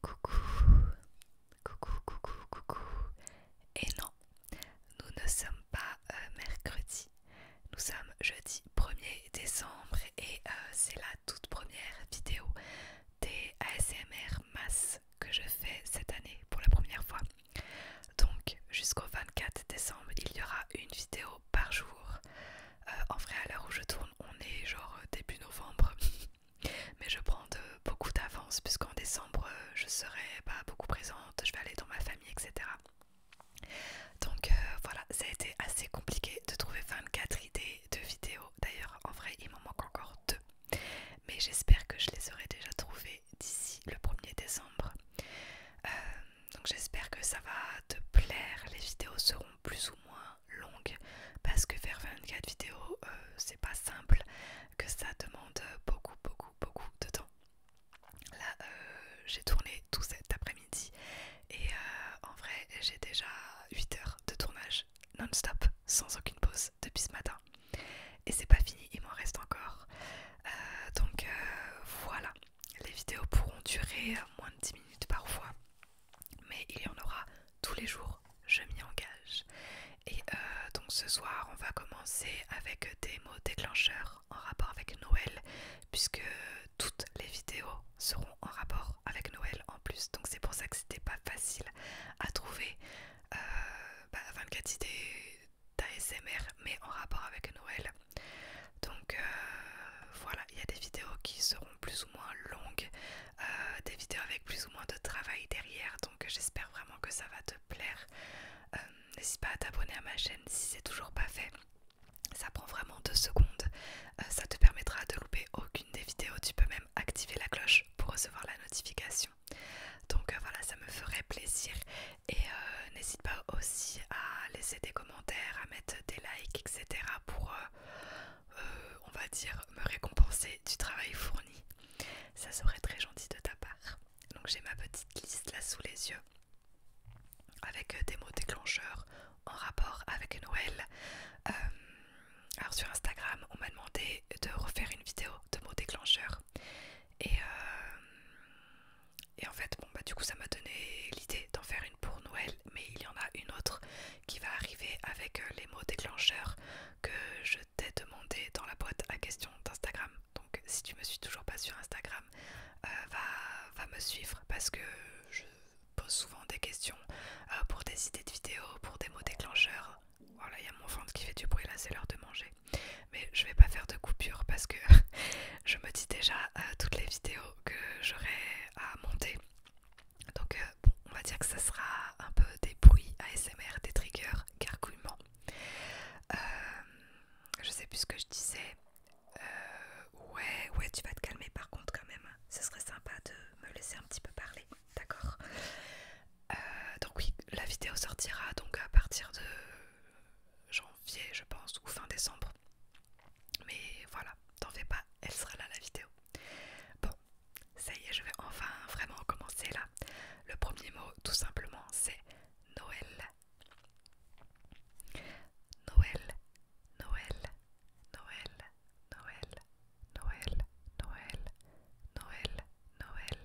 Coucou, coucou, coucou, coucou. Et non, nous ne sommes pas euh, mercredi, nous sommes jeudi 1er décembre et euh, c'est la toute première vidéo des ASMR mass que je fais cette année pour la première fois. Donc jusqu'au 24 décembre, il y aura une vidéo par jour euh, en vrai, à l'heure où je tourne, on est genre euh, début novembre. Mais je prends beaucoup d'avance puisqu'en décembre, euh, je serai pas bah, beaucoup présente, je vais aller dans ma famille, etc. Donc voilà, ça a été assez compliqué de trouver 24 idées de vidéos. D'ailleurs, en vrai, il m'en manque encore deux. Mais j'espère que je les aurai déjà trouvées d'ici le 1er décembre donc j'espère que ça va te plaire. Les vidéos seront plus ou moins longues parce que faire 24 vidéos, euh, c'est pas simple, que ça demande beaucoup, beaucoup, beaucoup de temps. Là, euh, j'ai tourné tout cet après-midi et euh, en vrai, j'ai déjà 8 heures de tournage non-stop, sans aucune pause depuis ce matin. Et c'est pas fini, il m'en reste encore. donc voilà les vidéos pourront durer euh, moins de 10 minutes parfois, mais il y en aura tous les jours, je m'y engage. Et euh, donc ce soir, on va commencer avec des mots déclencheurs en rapport avec Noël, puisque toutes les vidéos seront en rapport avec Noël en plus. Donc c'est pour ça que c'était pas facile à trouver 24 euh, bah, idées d'ASMR, mais en rapport avec Noël. Donc euh, voilà, il y a des vidéos qui seront plus ou moins longues, euh, des vidéos avec plus ou moins de travail derrière, donc j'espère vraiment que ça va te plaire. Euh, n'hésite pas à t'abonner à ma chaîne si c'est toujours pas fait. Ça prend vraiment deux secondes, ça te permettra de louper aucune des vidéos. Tu peux même activer la cloche pour recevoir la notification. Donc voilà, ça me ferait plaisir. Et euh, n'hésite pas aussi à laisser des commentaires, à mettre des likes, etc. pour, euh, euh, on va dire, me récompenser du travail fourni. Ça serait très gentil de ta part. Donc j'ai ma petite liste là sous les yeux avec des mots déclencheurs en rapport avec Noël. alors sur Instagram, on m'a demandé de refaire une vidéo de mots déclencheurs. Et et en fait, bon, bah, du coup, ça m'a donné l'idée d'en faire une pour Noël, mais il y en a une autre qui va arriver avec euh, les mots déclencheurs que je t'ai demandé dans la boîte à questions d'Instagram. Donc, si tu me suis toujours pas sur Instagram, euh, va, me suivre parce que je pose souvent des questions euh, pour des idées de vidéos, pour des mots déclencheurs. Voilà, il y a mon ventre qui fait du bruit là, c'est l'heure de manger. Mais je vais pas faire de coupure parce que je me dis déjà euh, toutes les vidéos que j'aurai à monter. Donc euh, on va dire que ça sera un peu des bruits ASMR, des triggers, gargouillements. Euh, je sais plus ce que je disais. ouais, ouais, tu vas te calmer par contre quand même. Ce serait sympa de me laisser un petit peu parler, d'accord Donc oui, la vidéo sortira donc à partir de euh, janvier, je pense, ou fin décembre. Mais voilà, t'en fais pas, elle sera là la vidéo. Bon, ça y est, je vais enfin vraiment commencer là. Le premier mot, tout simplement, c'est Noël. Noël, Noël, Noël, Noël, Noël, Noël, Noël, Noël, Noël,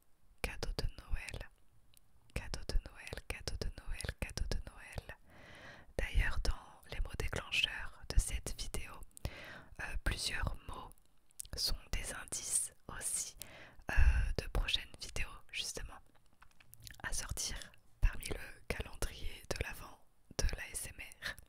cadeau de Noël, cadeau de Noël, cadeau de Noël, cadeau de Noël. D'ailleurs, dans les mots déclencheurs de cette vidéo, euh, plusieurs mots sont des indices aussi euh, de prochaines vidéos justement à sortir parmi le calendrier de l'avant de l'ASMR.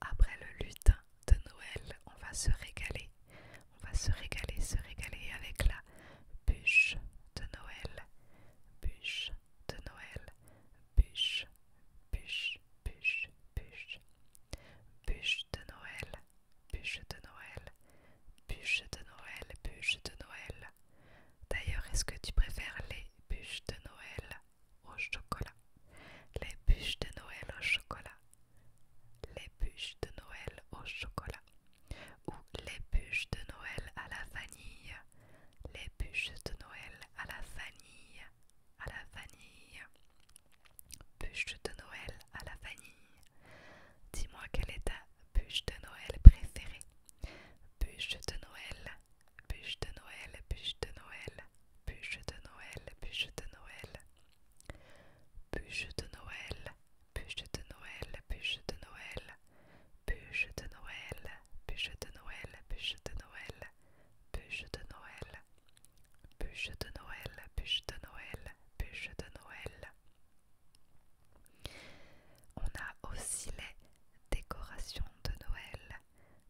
après le lutin de Noël, on va se régaler. On va se régaler, se régaler avec la bûche de Noël. Bûche de Noël. Bûche, bûche, bûche, bûche. Bûche de Noël. Bûche de Noël. Bûche de Noël. Bûche de Noël. D'ailleurs, est-ce que tu préfères les bûches de Noël au chocolat, les bûches de Noël au chocolat, les bûches de Noël au chocolat, ou les bûches de Noël à la vanille, les bûches de Noël à la vanille, à la vanille, bûche de Noël à la vanille. Dis-moi quel est ta bûche de Noël préférée. Bûche de Noël Bûche de Noël, bûche de Noël, bûche de Noël, bûche de Noël. Bûche de Noël, bûche de Noël, bûche de Noël. Bûche de Noël, bûche de Noël, bûche de Noël, bûche de Noël. Bûche de Noël, bûche de Noël, bûche de Noël. On a aussi les décorations de Noël,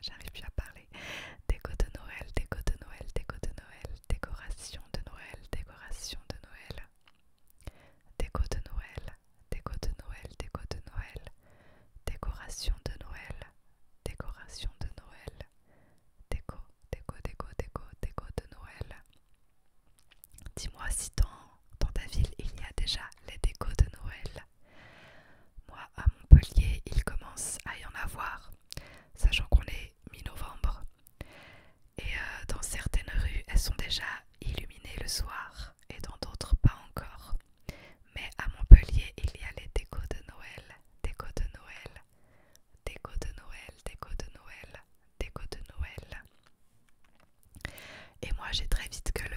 J'arrive plus à parler. Déco de Noël, déco de Noël, déco de Noël, décoration de Noël, décoration de Noël. Déco de Noël, déco de Noël, déco de Noël, décoration de Noël, décoration de Noël, déco, déco, déco, déco, déco de Noël. Dis-moi si dans, dans ta ville il y a déjà les décos de Noël. Moi, à Montpellier, il commence à y en avoir, sachant qu'on est mi-novembre. Et euh, dans certaines rues, elles sont déjà illuminées le soir, et dans d'autres pas encore. Mais à Montpellier, il y a les décos de Noël, décos de Noël, décos de Noël, décos de Noël, décos de Noël. Et moi, j'ai très vite que le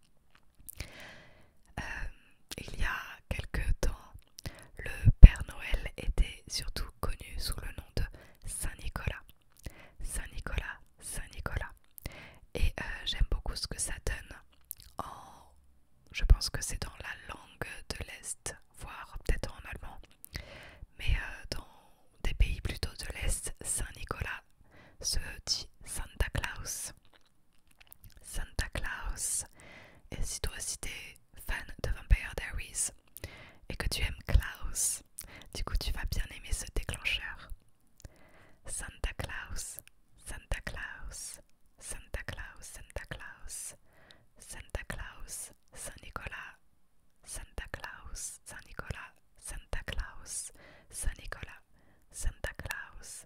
euh, il y a quelques temps, le Père Noël était surtout connu sous le nom de Saint Nicolas. Saint Nicolas, Saint Nicolas. Et euh, j'aime beaucoup ce que ça donne. je pense que c'est dans la langue de l'Est, voire peut-être en allemand. Mais euh, dans des pays plutôt de l'Est, Saint Nicolas se dit Santa Claus. Santa Claus. Et si toi aussi t'es fan de Vampire Diaries et que tu aimes Klaus, du coup tu vas bien aimer ce déclencheur. Santa Claus, Santa Claus, Santa Claus, Santa Claus, Santa Claus, Saint Nicolas, Santa Claus, Saint Nicolas, Santa Claus, Saint Nicolas, Santa Claus,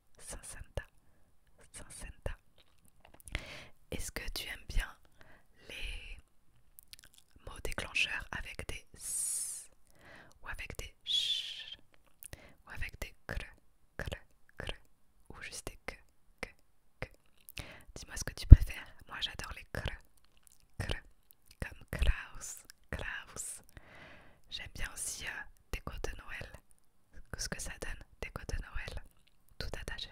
60, 60. Est-ce que tu aimes bien les mots déclencheurs avec des s ou avec des ch ou avec des cr, cr, cr ou juste des que, que, que Dis-moi ce que tu préfères. Moi j'adore les cr, cr comme Klaus, Klaus. J'aime bien aussi euh, des côtes de Noël. Ce que ça donne, Des côtes de Noël, tout attaché.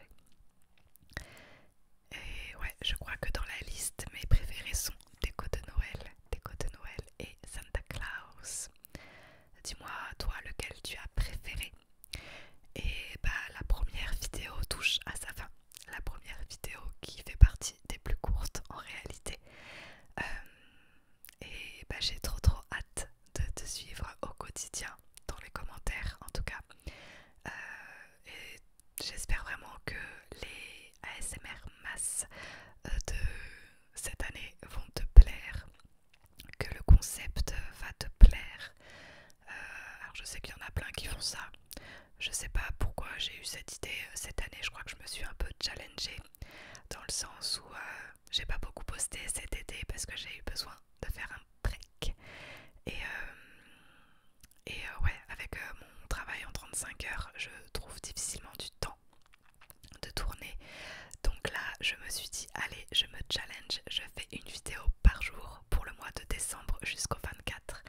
Et ouais, je crois que dans la liste, mes préférés sont des côtes de Noël, des côtes de Noël et Santa Claus. Dis-moi, toi, lequel tu as préféré Et bah, la première vidéo touche à sa fin. La première vidéo qui fait partie des plus courtes en réalité. Euh, et bah, j'ai trop trop hâte de te suivre au quotidien dans les commentaires en tout cas euh, et j'espère vraiment que les ASMR masse euh, de cette année vont te plaire que le concept va te plaire euh, alors je sais qu'il y en a plein qui font ça je sais pas pourquoi j'ai eu cette idée cette année je crois que je me suis un peu challengée dans le sens où euh, j'ai pas beaucoup posté cet été parce que j'ai eu besoin de faire un break. Et, euh, et euh, ouais, avec mon travail en 35 heures, je trouve difficilement du temps de tourner. Donc là, je me suis dit, allez, je me challenge, je fais une vidéo par jour pour le mois de décembre jusqu'au 24.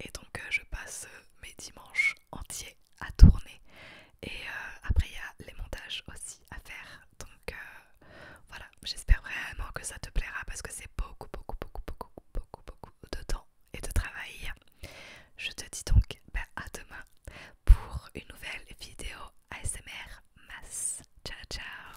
Et donc je passe mes dimanches entiers à tourner et euh, après il y a les montages aussi à faire donc euh, voilà j'espère vraiment que ça te plaira parce que c'est beaucoup beaucoup beaucoup beaucoup beaucoup beaucoup de temps et de travail je te dis donc bah, à demain pour une nouvelle vidéo ASMR masse ciao ciao